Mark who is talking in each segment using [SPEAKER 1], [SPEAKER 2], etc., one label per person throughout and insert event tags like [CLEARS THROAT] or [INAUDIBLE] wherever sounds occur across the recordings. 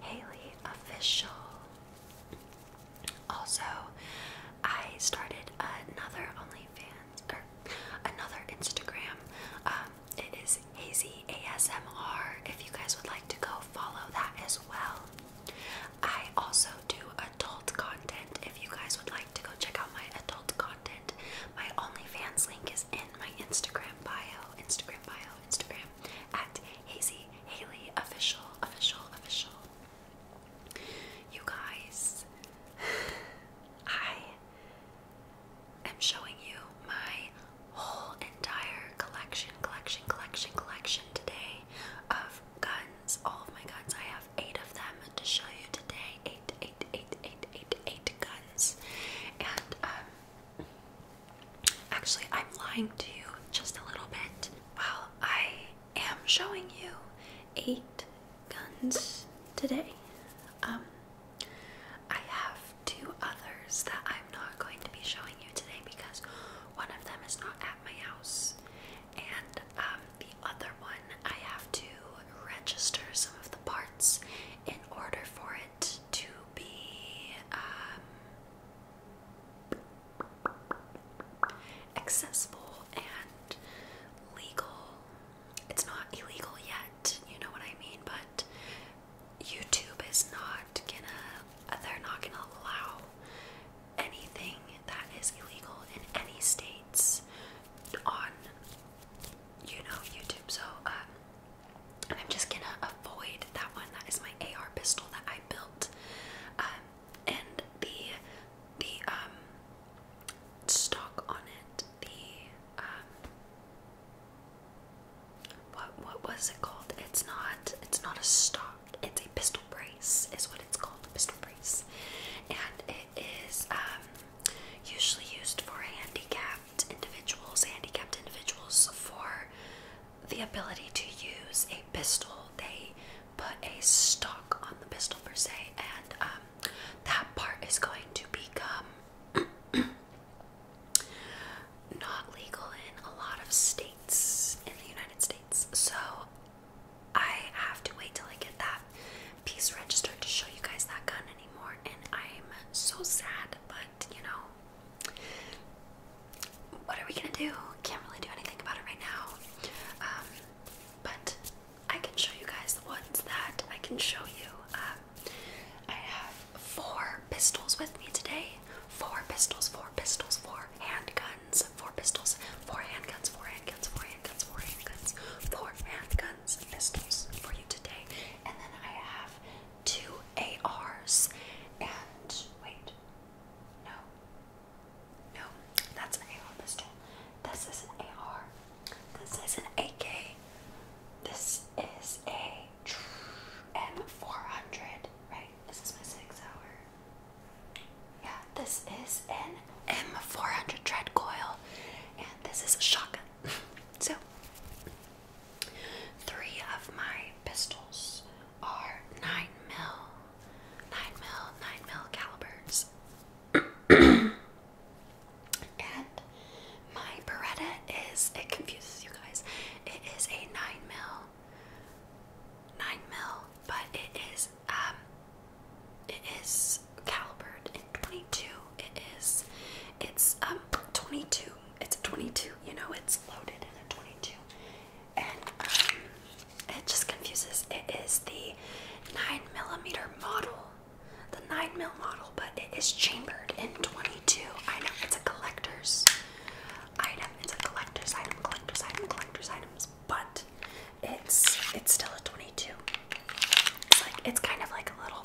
[SPEAKER 1] Haley Official. Also, I started another OnlyFans or er, another Instagram. Um, it is Hazy ASMR. If you guys would like to go follow that as well. I also do adult content. If you guys would like to go check out my adult content, my OnlyFans link is in my Instagram bio. Instagram bio. Instagram at Hazy Haley Official, Official, Official. You guys, I am showing you my whole entire collection, collection, collection, collection today of guns. All of my guns. I have eight of them to show you today. Eight, eight, eight, eight, eight, eight guns. And um, Actually, I'm lying to you just a little bit. Well, I am showing you eight guns today. Um, I have two others that I'm not going to be showing you today because one of them is not at my house, and um, the other one I have to register some of the parts in order for it to be um, accessible and legal. It's not illegal yet, you know what I mean, but YouTube is not gonna, they're not gonna allow anything that is illegal in any states on, you know, YouTube. So, um, and I'm just gonna avoid that one. That is my AR pistol that I built. Um, and the the um stock on it, the um what what was it called? It's not it's not a stock, it's a pistol brace is what it's called, a pistol brace. And it is um usually used for handicap handicapped individuals, handicapped individuals for the ability to use a pistol. They put a stock on the pistol per se, and um, that part is going to become [CLEARS THROAT] not legal in a lot of states in the United States. So I have to wait till I get that piece registered to show you guys that gun anymore, and I'm so sad, but you know, what are we gonna do? Can't really do anything about it right now. Um, but I can show you guys the ones that I can show you. Um, I have four pistols with me today. Four pistols, four pistols, four handguns, four pistols, four handguns, four handguns, four handguns, four handguns, four handguns, four handguns pistols for you today. And then I have two ARs and wait. No. No, that's an AR pistol. This is an AR. This is an AK. This is a M400, right? This is my six hour. Yeah, this is an M400 tread coil, and this is a shotgun. [LAUGHS] so, Three of my pistols are nine mil, nine mil, nine mil calibers, [CLEARS THROAT] and my Beretta is. It confuses you guys. It is a nine mil, nine mil, but it is um, it is calibered in twenty two. It is, it's um, twenty two it's a 22. You know, it's loaded in a 22, and um, it just confuses. It is the nine millimeter model, the nine mil model, but it is chambered in 22. I know it's a collector's item. It's a collector's item. Collector's item. Collector's items, but it's it's still a 22. It's like it's kind of like a little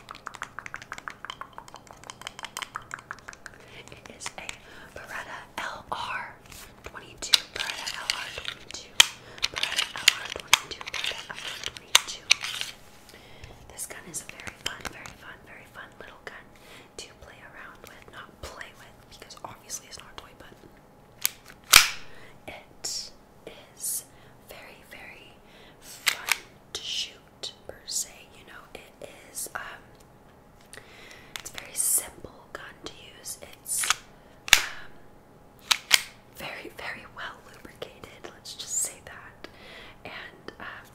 [SPEAKER 1] It is a Beretta LR 22. Beretta LR 22. Beretta LR 22. Beretta LR 22. This gun is a very fun, very fun, very fun little gun to play around with. Not play with, because obviously it's not a toy, but it is very, very fun to shoot per se. You know, it is um, it's very simple gun to use. It's um, very very well lubricated. Let's just say that, and um,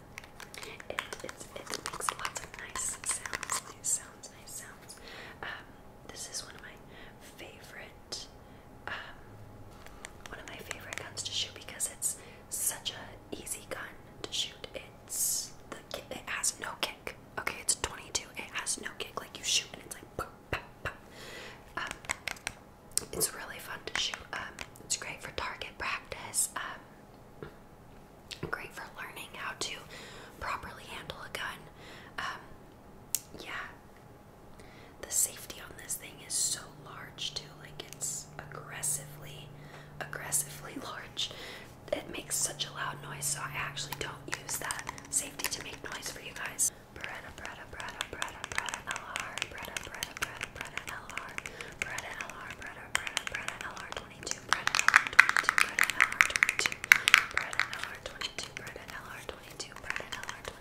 [SPEAKER 1] it, it it makes lots of nice sounds. Nice sounds. Nice sounds. Um, this is one of my favorite um, [SIGHS] one of my favorite guns to shoot because it's such a easy gun to shoot. It's the it has no kick. Okay, it's 22. It has no kick. Like you shoot and it's like pop, pop, pop. Um, it's really fun to shoot. Um, it's great for target practice. Um, great for learning how to properly handle a gun. Um, yeah the safety on this thing is so large too. Like it's aggressively, aggressively [LAUGHS] large. It makes such a loud noise, so I actually don't use that safety to make noise for you guys. Beretta, Beretta, Beretta, Beretta, Beretta, LR, Beretta, Beretta, Beretta, Beretta, LR, Beretta, LR, Beretta, Beretta, Beretta, LR 22, Beretta, 22, Beretta, LR 22, Beretta, LR 22, Beretta, LR 22, Beretta, LR 22,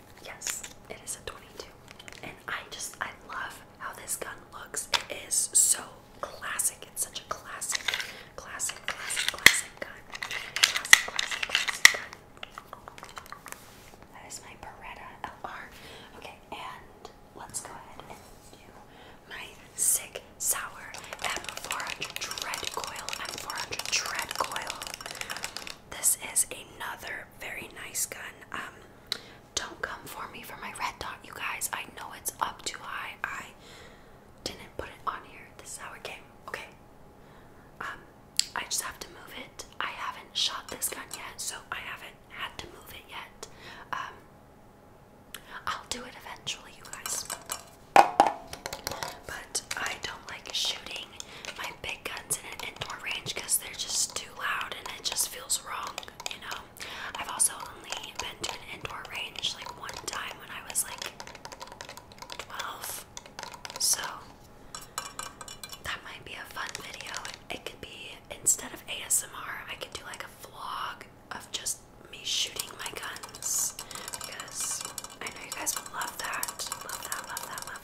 [SPEAKER 1] Yes, it is a 22. And I just, I love how this gun looks. It is so classic. It's such a classic, classic, classic, classic gun. Classic, classic, classic gun. That is my Beretta LR. Okay, and let's go ahead and do my sick sour M400 Dread Coil. M400 Dread Coil. This is another very nice gun. Um, don't come for me for my red dot, you guys. I know it's up too high. I didn't put it on here. This is how it came. Okay. Um, I just have to move it. I haven't shot this gun yet, so I haven't had to move it yet. Um, I'll do it eventually, you guys. But I don't like shooting my big guns in an indoor range because they're just too loud and it just feels wrong, you know. I've also only been to an indoor range like one time when I was like 12. So that might be a fun video. It could be instead of ASMR, I could do like a vlog of just me shooting my guns because I know you guys would love that. Love that, love that, love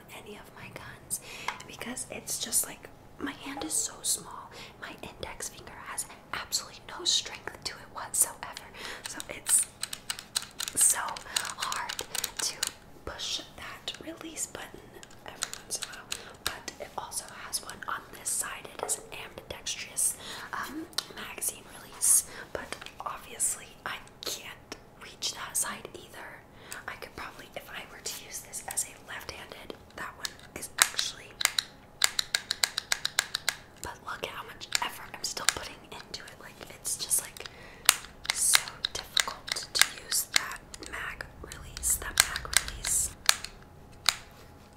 [SPEAKER 1] any of my guns because it's just like my hand is so small. My index finger has absolutely no strength to it whatsoever. So it's so hard to push that release button every once in a while. But it also has one on this side. It is an ambidextrous um, magazine release. But obviously, I can't reach that side either. I could probably, if I were to use this as a left-handed, that one is actually. But look at how much effort I'm still putting into it. Like it's just like so difficult to use that mag release. That mag release.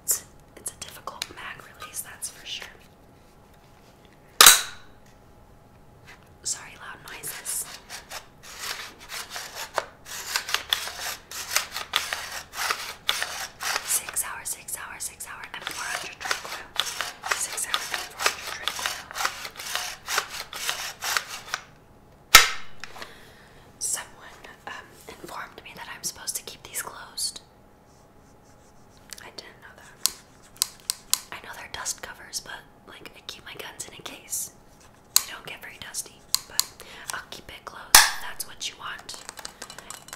[SPEAKER 1] it's a difficult mag release, that's for sure. Sorry, loud noises. Six hour, six hour, six hour, and 400 drink Six hour and 400 drink Someone um, informed me that I'm supposed to keep these closed. I didn't know that. I know they're dust covers, but like I keep my guns in a case. They don't get very dusty, but I'll keep it closed. that's what you want.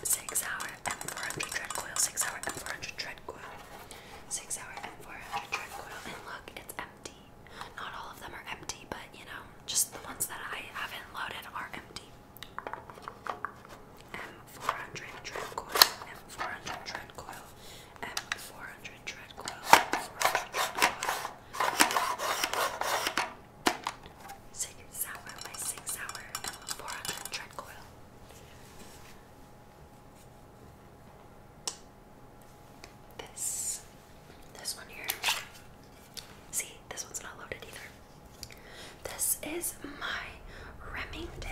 [SPEAKER 1] Six hour M400 tread coil. Six hour M400 tread coil. Six hour M400 tread coil. And look, it's empty. Not all of them are empty, but you know, just the ones that I haven't loaded are empty. M400 tread coil. M400 tread coil and 400 tread coil, 6 hour 6 hour, 400 tread coil. This, this one here, see, this one's not loaded either. This is my Remington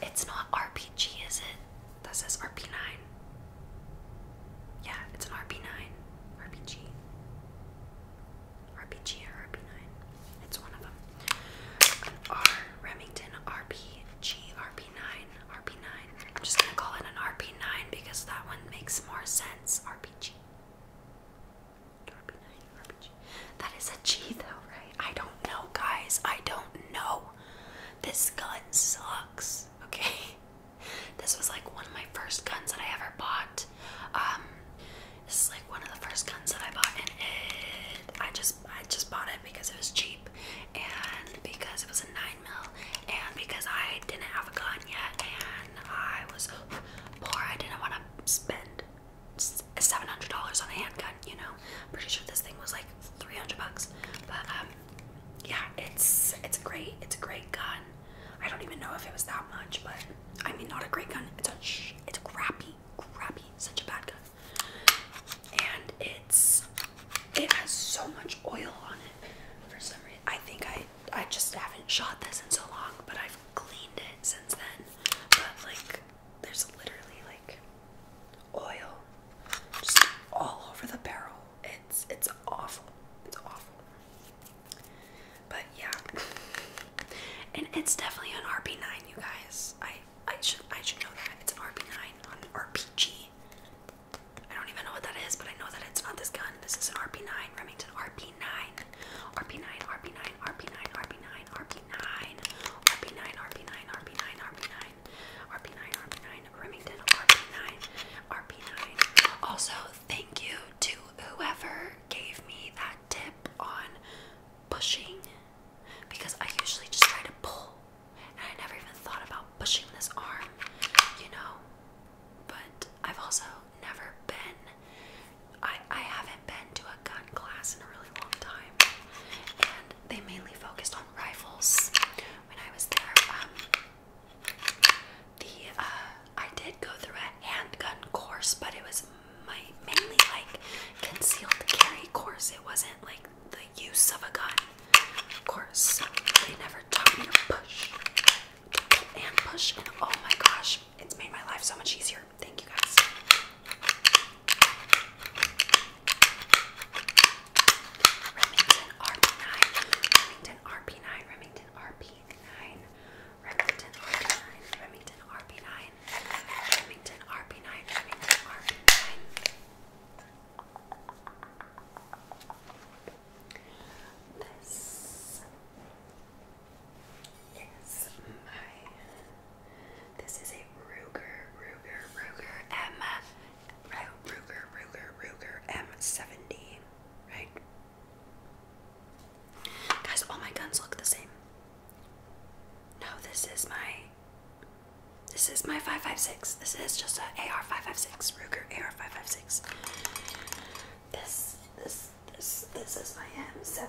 [SPEAKER 1] It's not RPG, is it? That says RP9. Yeah, it's an RP9. RPG. RPG or RP9. It's one of them. R Remington RPG RP9 RP9. I'm just gonna call it an RP9 because that one makes more sense. RPG. That is a G though, right? I don't know, guys. I don't know. This gun sucks. Okay. This was like one of my first guns that I ever bought. Um, this is like one of the first guns that I bought, and it, I just I just bought it because it was cheap, and because it was a nine mil, and because I didn't have a gun yet, and I was poor. I didn't want to spend seven hundred dollars on a handgun. You know, pretty sure this thing was like three hundred bucks. But um, yeah, it's it's great. It's a great gun. I don't even know if it was that much, but I mean, not a great gun. It's a shh, it's a crappy, crappy, such a bad gun. And it's it has so much oil on it for some reason. I think I I just haven't shot this in so long, but I've cleaned it since then. But like there's literally like oil just all over the barrel. It's it's awful. It's awful. But yeah. [LAUGHS] And it's definitely an RP9, you guys. I I should I should know that. It's an RP9 on RPG. I don't even know what that is, but I know that it's not this gun. This is an RP9, Remington RP9. RP9, RP9, RP9, RP9, RP9, RP9, RP9, RP9, RP9, RP9, RP9, Remington, RP9, RP9. Also, thank you to whoever gave me that tip on pushing because I usually just try to pull and I never even thought about pushing this arm, you know. But I've also never been I, I haven't been to a gun class in a really long time, and they mainly focused on rifles when I was there. Um, the uh, I did go through a handgun course, but it was my, mainly like concealed carry course. It wasn't like the use of a gun course. They never taught me to push and push, and oh my gosh, it's made my life so much easier. Thank you guys. Remington RP9, Remington RP9, Remington RP9, Remington RP9, Remington RP9, Remington RP9, This Yes, my. This is a Ruger, Ruger, Ruger M. Ruger, Ruger, Ruger M70, right? Guys, all my guns look the same. No, this is my. This is my 556. This is just a AR556, Ruger AR556. This, this is this this is my M70.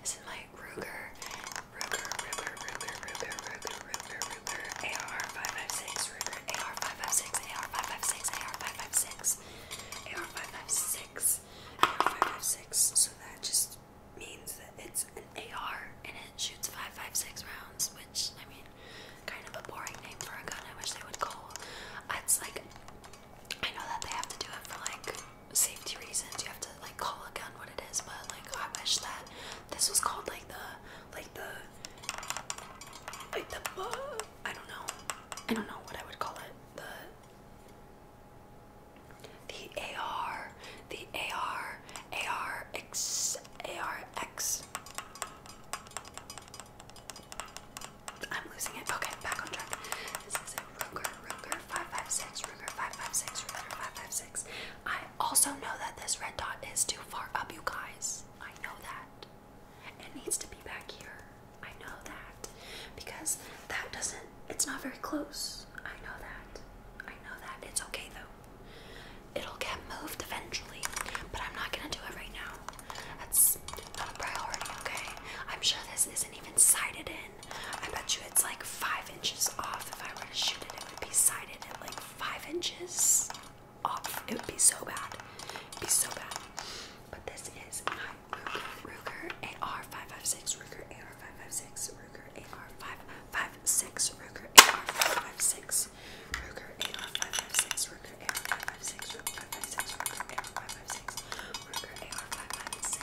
[SPEAKER 1] This is my Ruger Ruger Ruger Ruger Ruger Ruger Ruger Ruger AR556 Ruger AR556 AR556 AR556 AR556 AR556 so that just means that it's an AR and it shoots 556 rounds which I mean kind of a boring name for a gun I wish they would call it's like I know that they have to do it for like safety reasons you have to like call again? what it is but like I wish that this was called like the like the like the uh, I don't know I don't know what I would call it the the AR the AR AR X AR X I'm losing it okay back on track this is it Ruger, Ruger 556, Ruger 556, Ruger 556. I also know that this red dot is too far up, you guys. I know that. It needs to be back here. I know that. Because that doesn't, it's not very close. I know that. I know that. It's okay though. It'll get moved eventually, but I'm not gonna do it right now. That's not a priority, okay? I'm sure this isn't even sighted in. I bet you it's like five inches off. If I were to shoot it, it would be sighted at like five inches off. It would be so bad. It'd be so bad. But this is my Ruger AR556 Ruger AR556 Ruger AR556 Ruger AR556 Ruger AR556 Ruger AR556 Ruger AR556 Ruger AR556 Ruger AR556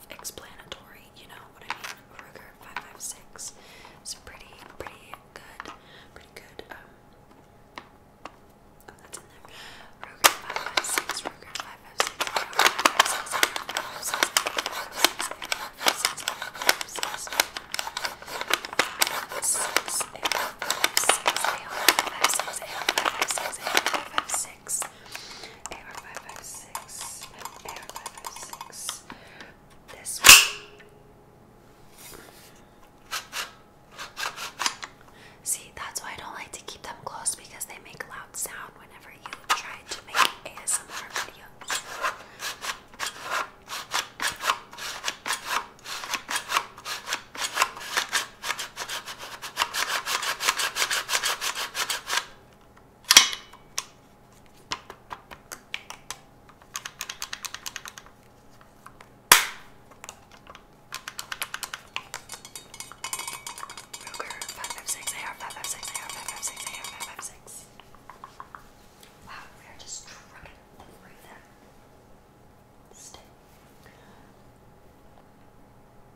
[SPEAKER 1] explanatory you know what I mean? Ruger 556 is pretty, pretty good, pretty good, um, oh, that's in there. Ruger 556, Ruger 556, See, that's why I don't like to keep them close because they make loud sound whenever you try to make ASMR videos. Ruger 556 AR 556 AR 556 AR 556. Wow, we are just trucking through them. Stay.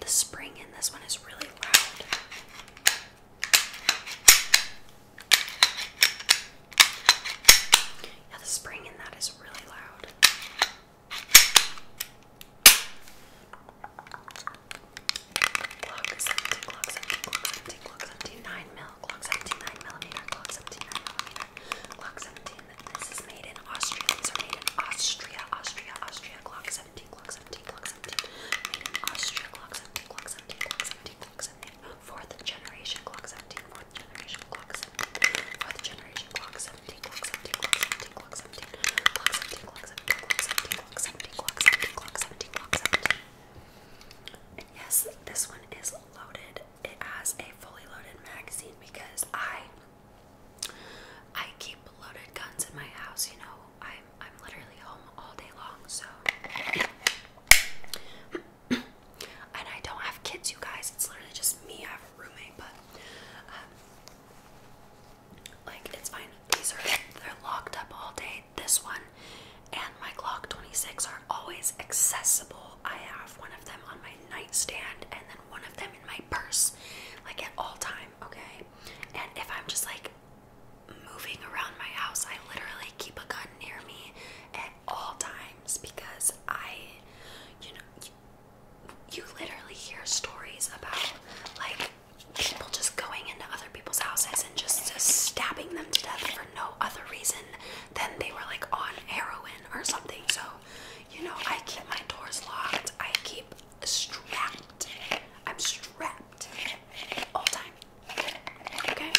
[SPEAKER 1] the spring in this one is really loud. Yeah, the spring in that is really loud. Clock 17, clock 17, clock 17, clock 17, 9 mil, clock 17, 9 millimeter, clock 17, 9 millimeter, clock 17. This is made in Austria. These are made in Austria, Austria, Austria, clock 17, clock 17, clock 17. Made in Austria, clock 17, clock 17, clock 17, clock 17. Fourth generation, clock 17, fourth generation, clock 17, fourth generation, clock 17 yes, this one is loaded. It has a fully loaded magazine because I I keep loaded guns in my house, you know. I'm I'm literally home all day long, so and I don't have kids, you guys. It's literally just me. I have a roommate, but um, like it's fine. These are they're locked up all day. This one and my Glock 26 are always accessible. I have one of them on my nightstand and then one of them in my purse, like at all time. Okay, and if I'm just like moving around my house, I literally keep a gun near me at all times because I, you know, you literally hear stories about like people just going into other people's houses and just, stabbing them to death for no other reason than they were like on heroin or something. So, you know, I keep my doors locked. I keep strapped. I'm strapped all time. Okay?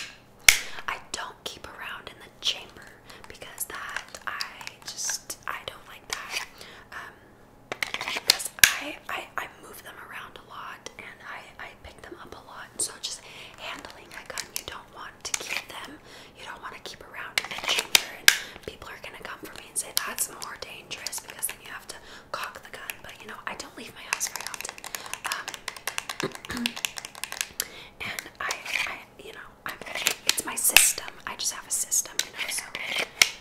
[SPEAKER 1] I don't keep around in the chamber because that I just I don't like that. Um because I, I I move them around a lot and I, I pick them up a lot. So just handling a gun, you don't want to keep them. You don't want to keep around in the chamber people are gonna come for me and say that's more dangerous because then you have to cock the gun. But you know, I don't leave my house very often. Um, [CLEARS THROAT] and I, I you know, it's my system. I just have a system, you know, so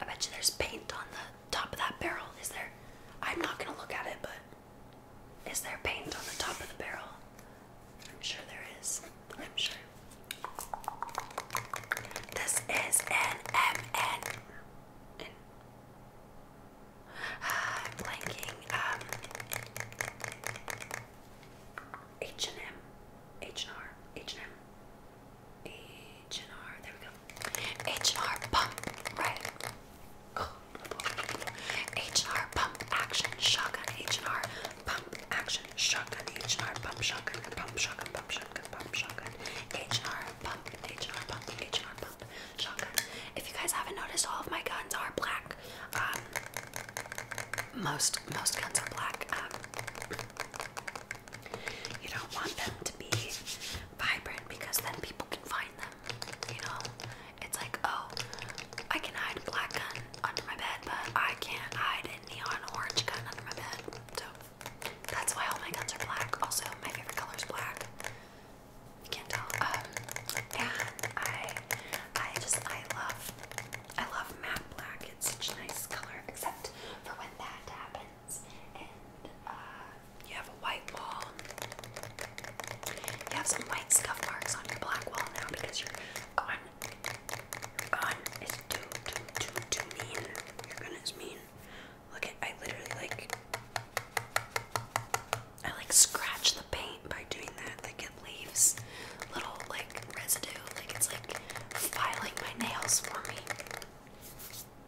[SPEAKER 1] I bet you there's paint on the top of that barrel. Is there? I'm not gonna look at it, but is there paint on the top of the barrel? I'm sure there is. I'm sure. This is an MN. [SIGHS] blanking. Um, H and M, H and M, H and R. There we go. H R Pump, right? h Pump Action Shotgun, H R Pump Action Shotgun, H R Pump Shotgun, Pump Shotgun, Pump Shotgun, Pump Shotgun, h Pump, h Pump, h Pump Shotgun. If you guys haven't noticed, all of my guns are black. Um, most most guns are black. Um, you don't want them to be vibrant because then people can find them. You know, it's like, oh, I can hide a black gun under my bed, but I can't hide a neon orange gun under my bed. So that's why all my guns are black. Also, my favorite color is black. You can't tell. Um, I, I just, I love, I love matte black. It's such a nice color, except for when that happens and uh, you have a white wall. You have some white scuff marks on your black wall now because your gun, your gun is too, too, too, too mean. Your gun is mean. Look at, I literally like, I like scratch the paint by doing that. Like it leaves little like residue. Like it's like filing my nails for me.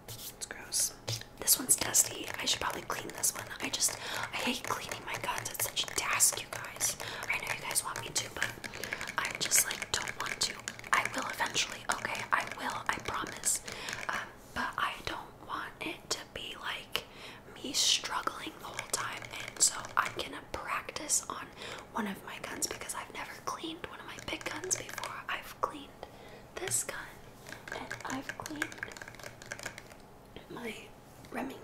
[SPEAKER 1] It's gross. This one's dusty. I should probably clean this one. I just, I hate cleaning my guns. It's such a task, you guys. I know you guys want me to, but I just like don't want to. I will eventually, okay? I will, I promise. Um, but I don't want it to be like me struggling the whole time. And so I'm gonna practice on one of my guns because I've never cleaned one of my big guns before. I've cleaned this gun and I've cleaned my Remington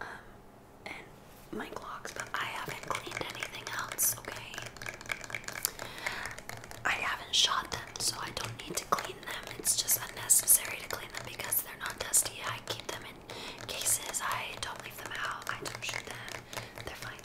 [SPEAKER 1] um, and my Glocks, but I haven't cleaned anything else, okay? I haven't shot them, so I don't need to clean them. It's just unnecessary to clean them because they're not dusty. I keep them in cases. I don't leave them out. I don't shoot them. They're fine.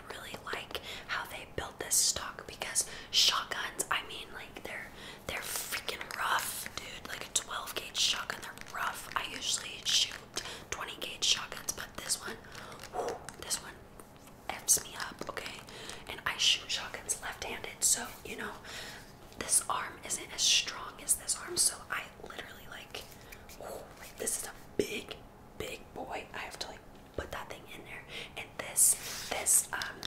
[SPEAKER 1] really like how they built this stock because shotguns, I mean, like they're they're freaking rough, dude. Like a 12 gauge shotgun, they're rough. I usually shoot 20 gauge shotguns, but this one, this one f's me up, okay? And I shoot shotguns left-handed, so you know this arm isn't as strong as this arm, so I literally like this is a big big boy. I have to like put that thing in there. And this, this, um,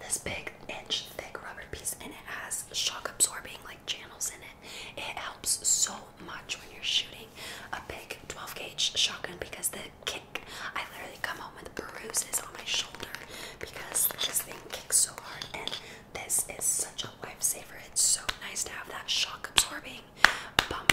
[SPEAKER 1] this big inch thick rubber piece, and it has shock absorbing like channels in it. It helps so much when you're shooting a big 12 gauge shotgun because the kick. I literally come home with bruises on my shoulder because this thing kicks so hard, and this is such a lifesaver. It's so nice to have that shock absorbing bump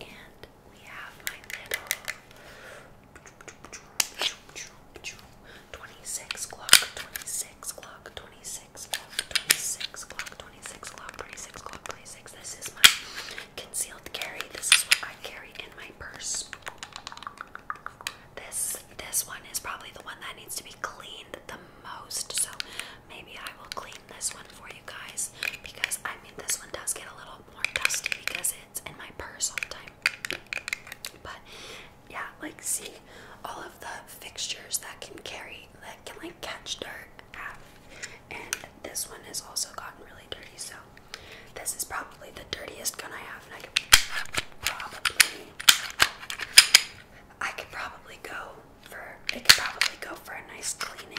[SPEAKER 1] And we have my little 26 clock, 26 clock, 26 clock, 26 clock, 26 clock, 26. This is my concealed carry. This is what I carry in my purse. This this one is probably the one that needs to be cleaned the most. So maybe I will clean this one for you guys because I mean this one does get a little more dusty because it's in my purse all the time. But yeah, like see all of the fixtures that can carry that can like catch dirt And this one has also gotten really dirty, so this is probably the dirtiest gun I have, and I could I could probably go for it could probably go for a nice cleaning.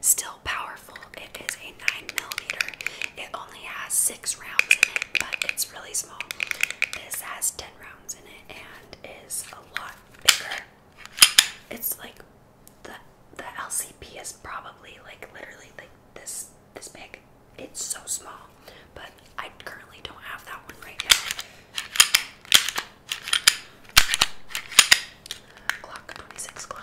[SPEAKER 1] still powerful. It is a 9 millimeter. It only has 6 rounds in it, but it's really small. This has 10 rounds in it and is a lot bigger. It's like the the LCP is probably like literally like this this big. It's so small, but I currently don't have that one right now. Clock 26 clock.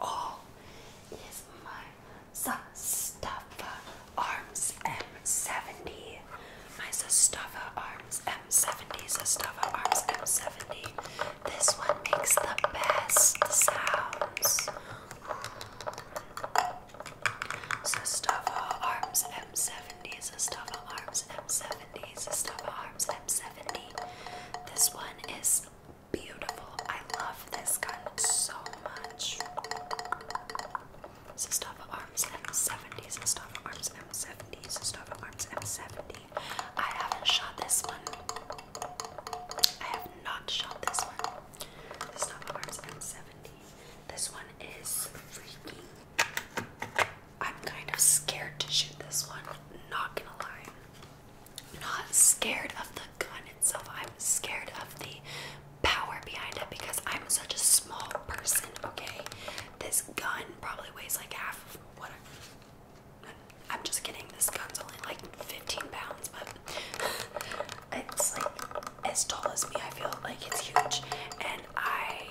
[SPEAKER 1] all is my Sustava Arms M70. My Sustava Arms M70. Sustava Arms M70. This one makes the best sounds. Sustava Arms M70. Sustava Arms M70. Sustava Arms M70. This one is beautiful. I love this gun so much. Sestava Arms M70, Sestava Arms M70, Sestava Arms M70. I haven't shot this one. I have not shot this one. Sestava Arms M70. This one is freaking. I'm kind of scared to shoot this one, not gonna lie not scared of the gun itself. I'm scared of the power behind it because I'm such a small person, okay? This gun probably weighs like half of what I'm, just kidding. This gun's only like 15 pounds, but [LAUGHS] it's like as tall as me. I feel like it's huge, and I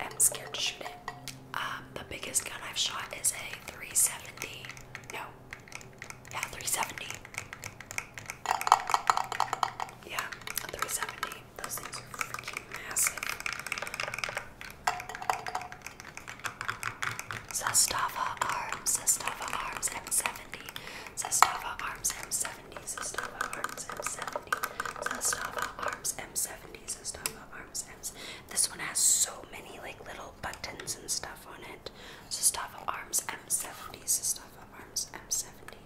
[SPEAKER 1] am scared to shoot it. Uh, um, the biggest gun I've shot is a 370. No. Yeah, 370. Yeah, 370. Those things are freaking massive. Sestava Arms, Sestava Arms M70, Sestava Arms M70, Sestava Arms M70, Sestava Arms M70 panties and stuff up arms ends. This one has so many like little buttons and stuff on it. Sestava arms M70, Sestava arms M70,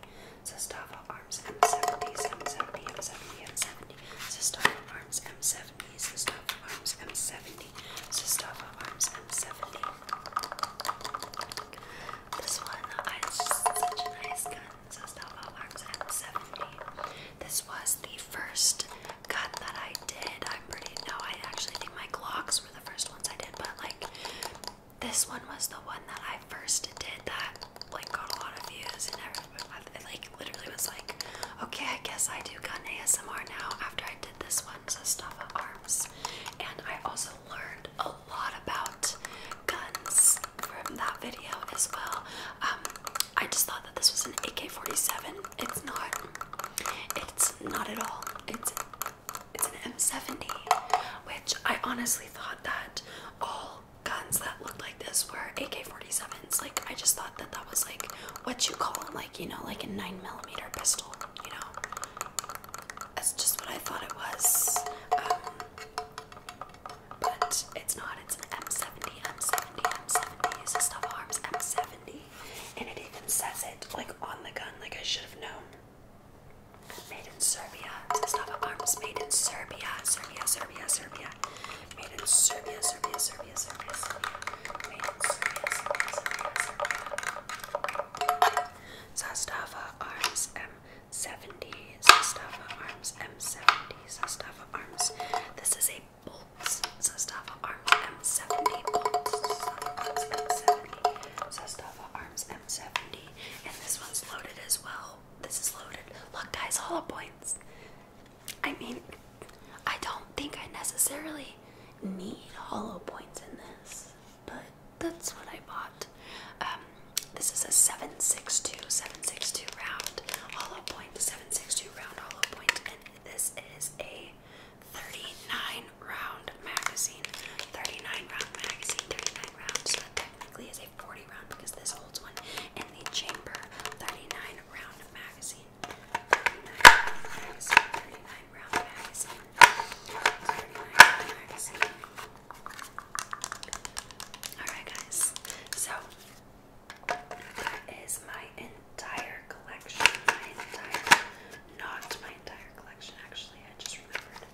[SPEAKER 1] Sestava arms M70, M70, M70, M70, Sestava arms M70, Sestava arms M70, Sestava arms M70. This one uh, is such a nice gun. Sestava arms M70. This was the first gun that I did. I'm pretty no, I actually think my Glocks were the first ones I did, but like this one was the one that I first did that like got a lot of views and everyone it like literally was like, okay, I guess I do gun ASMR now after I did this one, so stuff of arms. And I also learned a lot about guns from that video as well. Um, I just thought that this was an AK-47. It's not. It's not at all. It's it's an M70, which I honestly thought that all guns that looked like this were AK-47s. Like I just thought that that was like what you call like you know like a nine millimeter pistol. You know, that's just what I thought it was. Um, but it's not. It's an M70. M70. M70 It's a stuff arms. M70 and it even says it like on the gun, like I should have known. Made in Serbia. Stop arms. Made in Serbia. Serbia. Serbia. Serbia. Made in Serbia. Serbia. Serbia. Serbia. Serbia. Made in Serbia. Serbia. Serbia. Serbia. Sastava arms M70. Sastava arms M70. Sastava arms. This is a volts. Zastava Arms M70 volts. Zastava Arms M70. And this one's loaded as well. This is loaded. Look, guys, hollow points. I mean, I don't think I necessarily need hollow points in this, but that's what I bought. Um, this is a 762, 762 round hollow point, 762 round hollow point, and this is a 39 round magazine. 39 round magazine, 39 rounds. So that technically is a 40 round because this holds one in the chamber. 39 round magazine. 39 round magazine. 39 round magazine. 39 round magazine. Alright guys. So that is my entire collection. My entire, not my entire collection, actually. I just remembered.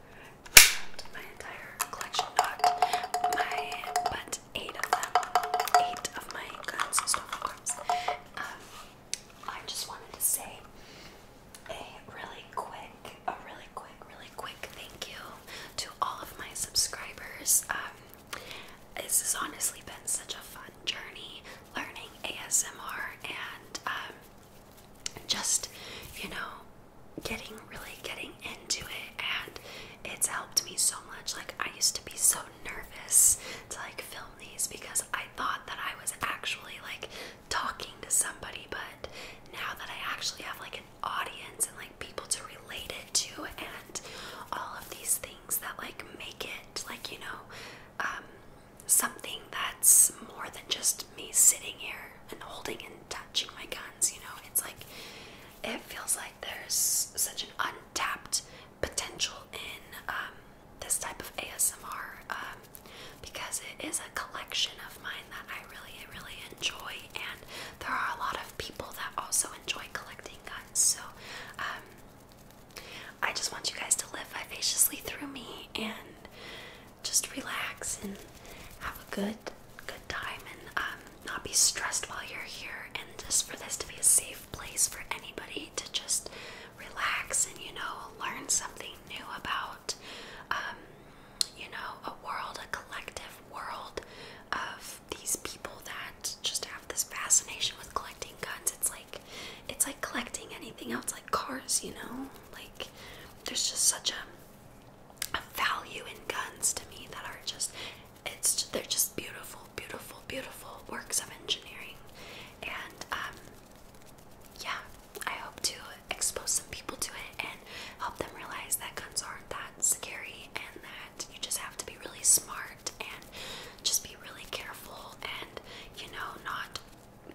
[SPEAKER 1] Not my entire collection, not my, but eight of them. Eight of my guns Um, I just wanted to say a really quick, a really quick, really quick thank you to all of my subscribers. Um, this has honestly been such a fun journey learning ASMR and um, just, you know, getting really getting into it. And it's helped me so much. Like, I used to be so nervous to like film these because I thought that I was actually like talking to somebody, but now that I actually have like an audience and like people to relate it to, and all of these things that like make it like you know um, something that's more than just me sitting here and holding and touching my guns you know it's like it feels like there's such an untapped potential in um, this type of asmr um, because it is a collection of mine that i really really enjoy and there are a lot of people that also enjoy collecting guns so I just want you guys to live vivaciously through me and just relax and have a good good time and um, not be stressed while you're here and just for this to be a safe place for anybody to just relax and you know learn something new about um, you know a world a collective world of these people that just have this fascination with collecting guns it's like it's like collecting anything else like cars, you know? Like there's just such a a value in guns to me that are just it's they're just beautiful, beautiful, beautiful works of engineering. And um yeah, I hope to expose some people to it and help them realize that guns aren't that scary and that you just have to be really smart and just be really careful and, you know, not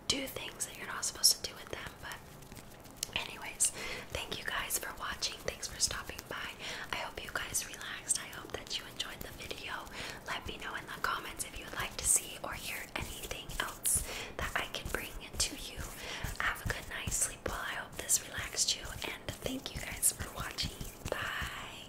[SPEAKER 1] do things that you're not supposed to do with them. But, anyways, thank you guys for watching. Thanks for stopping by. I hope you guys relaxed. I hope that you enjoyed the video. Let me know in the comments if you would like to see or hear anything else that I can bring to you. Have a good night. Sleep well. I hope this relaxed you. And thank you guys for watching. Bye.